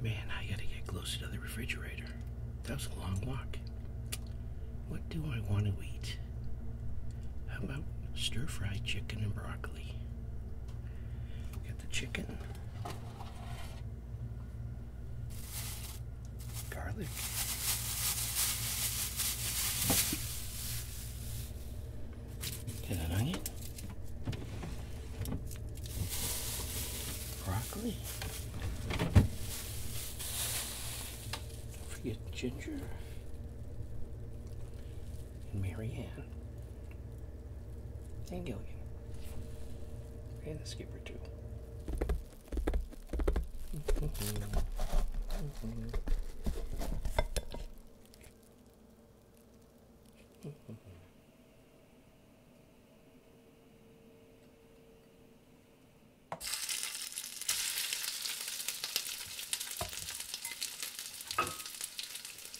Man, I gotta get closer to the refrigerator. That was a long walk. What do I want to eat? How about stir fried chicken and broccoli? Got the chicken. Garlic. Get an onion. Broccoli. Don't forget ginger and Marianne. And Gilligan. And the skipper, too. Mm-hmm. mm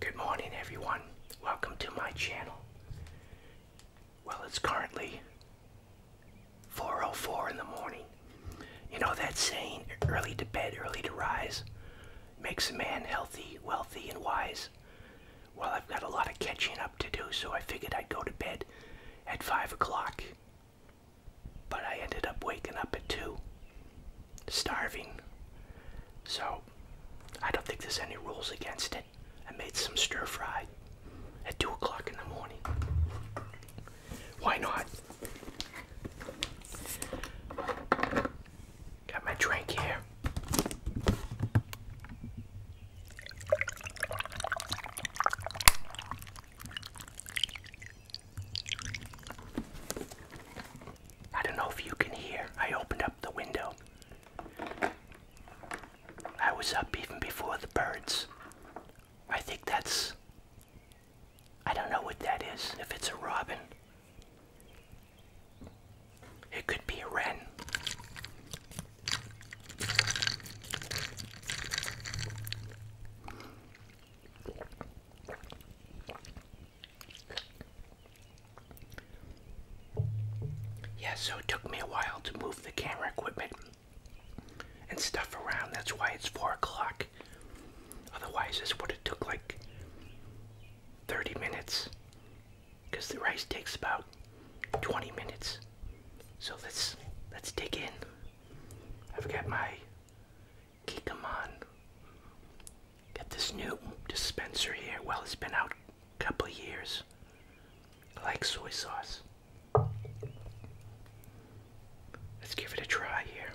Good morning, everyone. Welcome to my channel. Well, it's currently 4.04 in the morning. You know that saying, early to bed, early to rise, makes a man healthy, wealthy, and wise. Well, I've got a lot of catching up to do, so I figured I'd go to bed at 5 o'clock. But I ended up waking up at 2, starving. So, I don't think there's any rules against it. I made some stir fry at 2 o'clock in the morning. Why not? Got my drink here. I don't know if you can hear. I opened up the window. I was up even before the birds. I think that's. I don't know what that is, if it's a robin. It could be a wren. Yeah, so it took me a while to move the camera equipment and stuff around. That's why it's 4 o'clock. Otherwise, this would have took like 30 minutes. Because the rice takes about 20 minutes. So let's, let's dig in. I've got my Geekamon. Got this new dispenser here. Well, it's been out couple of years, like soy sauce. Let's give it a try here.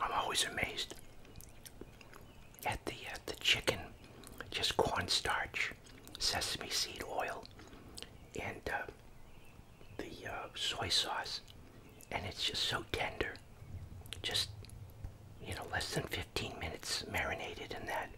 I'm always amazed at the at uh, the chicken, just cornstarch, sesame seed oil, and uh, the uh, soy sauce, and it's just so tender. Just, you know, less than 15 minutes marinated in that.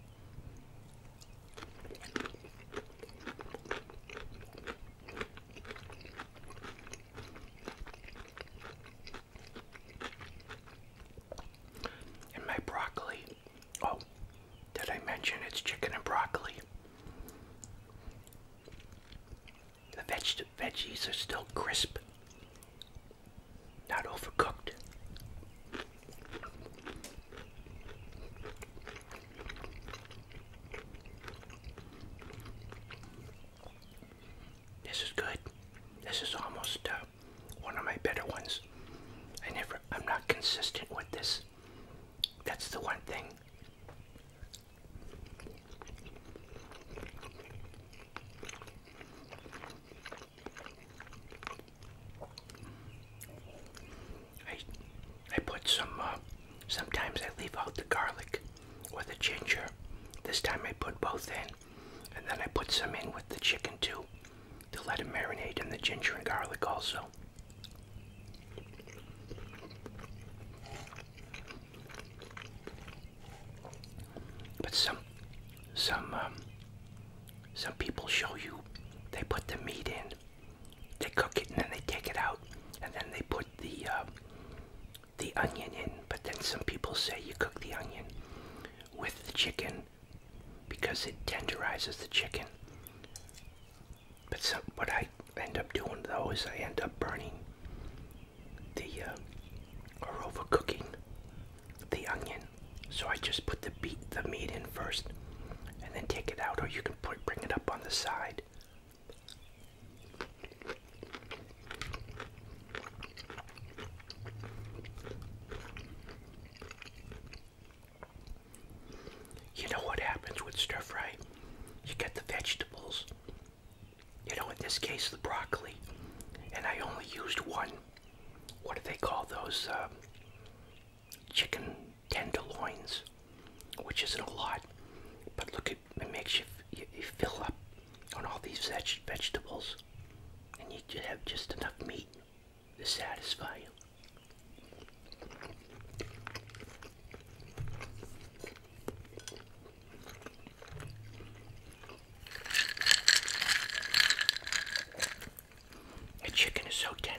And my broccoli. Oh, did I mention it's chicken and broccoli? The veg veggies are still crisp, not overcooked. This is good. This is almost uh, one of my better ones. I never, I'm not consistent with this. That's the one thing I I put some uh, sometimes I leave out the garlic or the ginger. This time I put both in and then I put some in with the chicken too to let it marinate in the ginger and garlic also. But some, some, um, some people show you. They put the meat in, they cook it, and then they take it out, and then they put the um, the onion in. But then some people say you cook the onion with the chicken because it tenderizes the chicken. But so, what I end up doing though is I end up burning the uh, or overcooking the onion. So I just put the beat the meat in first, and then take it out, or you can put bring it up on the side. You know what happens with stir fry? You get the vegetables. You know, in this case, the broccoli. And I only used one. What do they call those? Uh, chicken tenderloins, which isn't a lot. But look, it, it makes you, you, fill up on all these vegetables. And you have just enough meat to satisfy you. The chicken is so tender.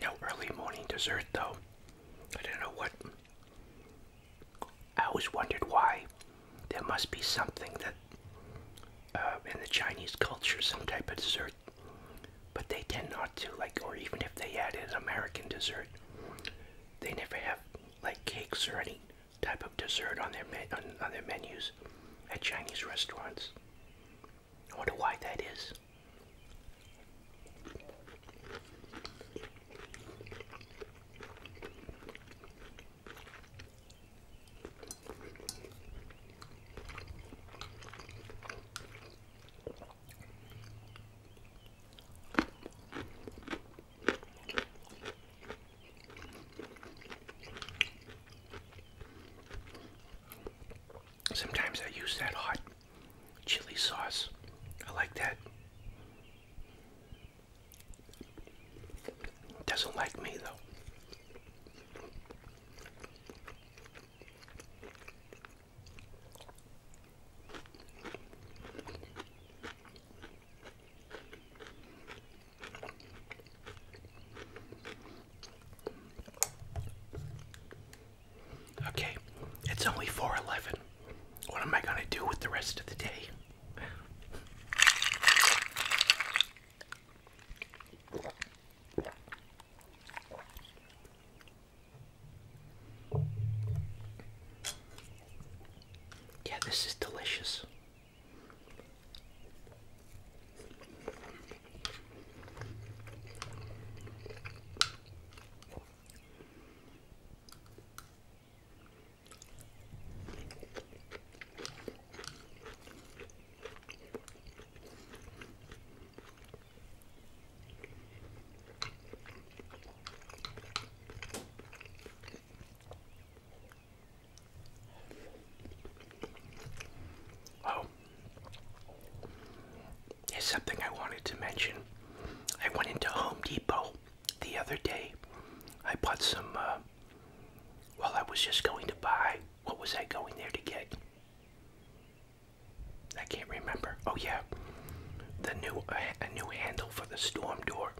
No early morning dessert, though. I don't know what I always wondered why. There must be something that uh, in the Chinese culture, some type of dessert, but they tend not to like, or even if they add an American dessert, they never have like cakes or any type of dessert on their on, on their menus at Chinese restaurants. I wonder why that is. Sometimes I use that hot chili sauce. I like that. Doesn't like me though. Okay, it's only 4:11. What am I going to do with the rest of the day? Yeah, this is delicious. Oh, here's something I wanted to mention. I went into Home Depot the other day I bought some, uh, well, I was just going to buy, what was I going there to get? I can't remember. Oh, yeah. The new, a new handle for the storm door.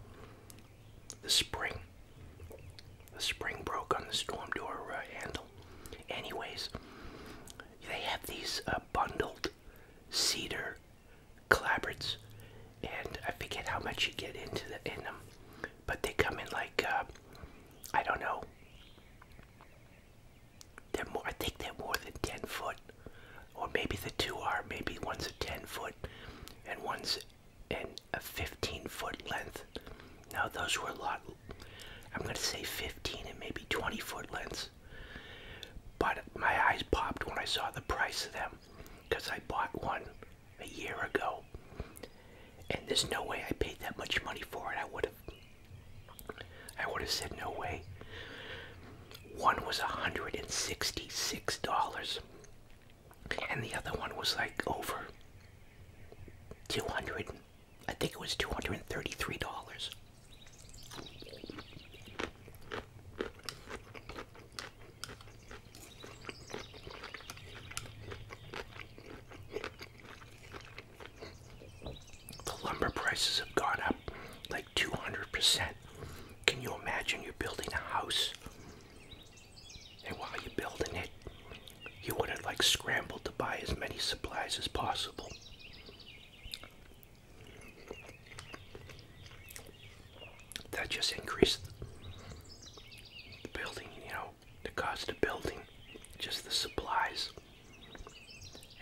The spring. The spring broke on the storm door uh, handle. Anyways, they have these uh, bundled cedar Collaborates, and I forget how much you get into the, in them, but they come in like uh, I don't know. They're more. I think they're more than ten foot, or maybe the two are. Maybe one's a ten foot, and one's in a fifteen foot length. Now those were a lot. I'm gonna say fifteen and maybe twenty foot lengths. But my eyes popped when I saw the price of them because I bought one a year ago. And there's no way I paid that much money for it. I would have I would have said no way. One was a $166 and the other one was like over 200 I think it was $233. The lumber prices have gone up like 200%. Can you imagine you're building a house? And while you're building it, you would have like scrambled to buy as many supplies as possible. That just increased the building, you know, the cost of building, just the supplies,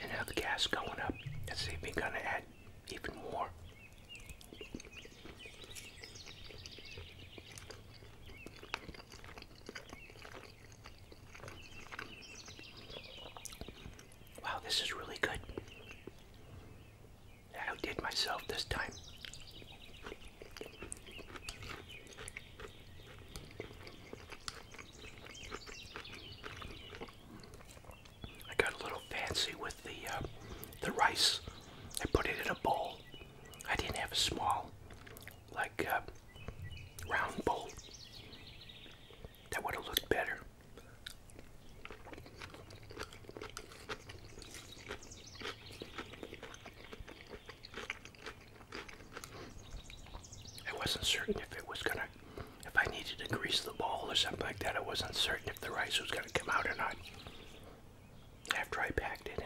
and now the gas going up. That's even gonna add even more. Wow, this is really good. I outdid myself this time. I got a little fancy with the uh, the rice. I put it in a bowl. I didn't have a small, like uh, round bowl. That would have looked better. I wasn't certain if it was gonna, if I needed to grease the bowl or something like that. I wasn't certain if the rice was gonna come out or not after I packed it in.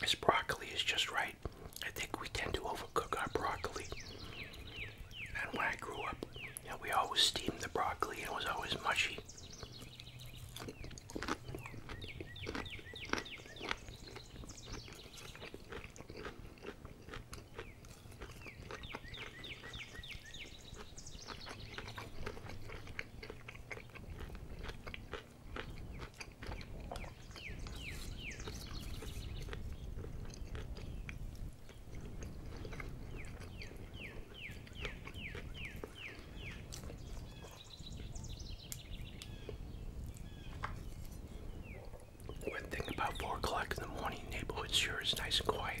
This broccoli is just right. I think we tend to overcook our broccoli. And when I grew up, we always steamed the broccoli and it was always mushy. When thinking about four o'clock in the morning, neighborhood sure is nice and quiet.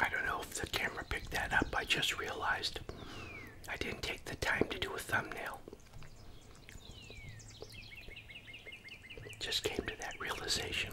I don't know if the camera picked that up. I just realized I didn't take the time to do a thumbnail. Just came to that realization.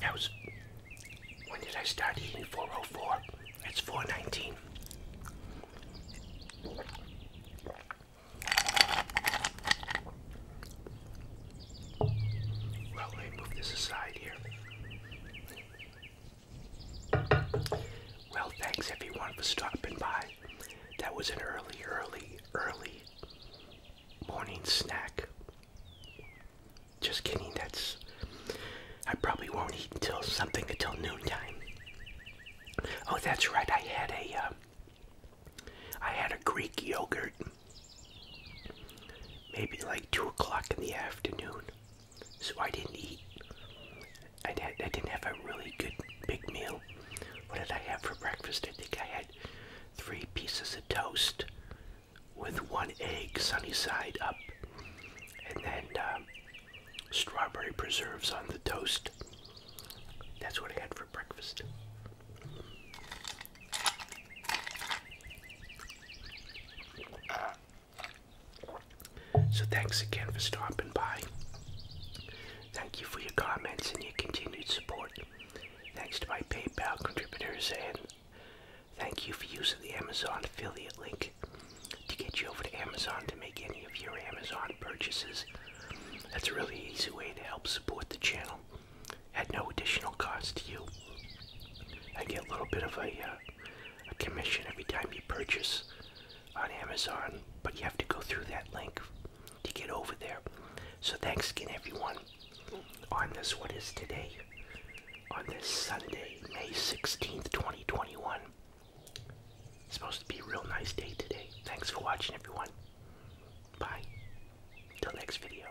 That was when did I start eating 404? It's 419. Well, let me move this aside here. Well, thanks everyone for stopping by. That was an early, early, early morning snack. Just kidding, that's. I probably won't eat until something until noontime. Oh, that's right, I had a. Uh, I had a Greek yogurt. Maybe like 2 o'clock in the afternoon so I didn't eat. I, didn't have a really good big meal. What did I have for breakfast? I think I had three pieces of toast with one egg sunny side up, and then um, strawberry preserves on the toast. That's what I had for breakfast. So thanks again for stopping by. Thank you for your comments and your continued support. Thanks to my PayPal contributors and thank you for using the Amazon affiliate link to get you over to Amazon to make any of your Amazon purchases. That's a really easy way to help support the channel at no additional cost to you. I get a little bit of a uh, a commission every time you purchase on Amazon, but you have to go through that link to get over there. So thanks again, everyone, on this, what is today? On this Sunday, May 16th, 2021. It's supposed to be a real nice day today. Thanks for watching, everyone. Bye. Till next video.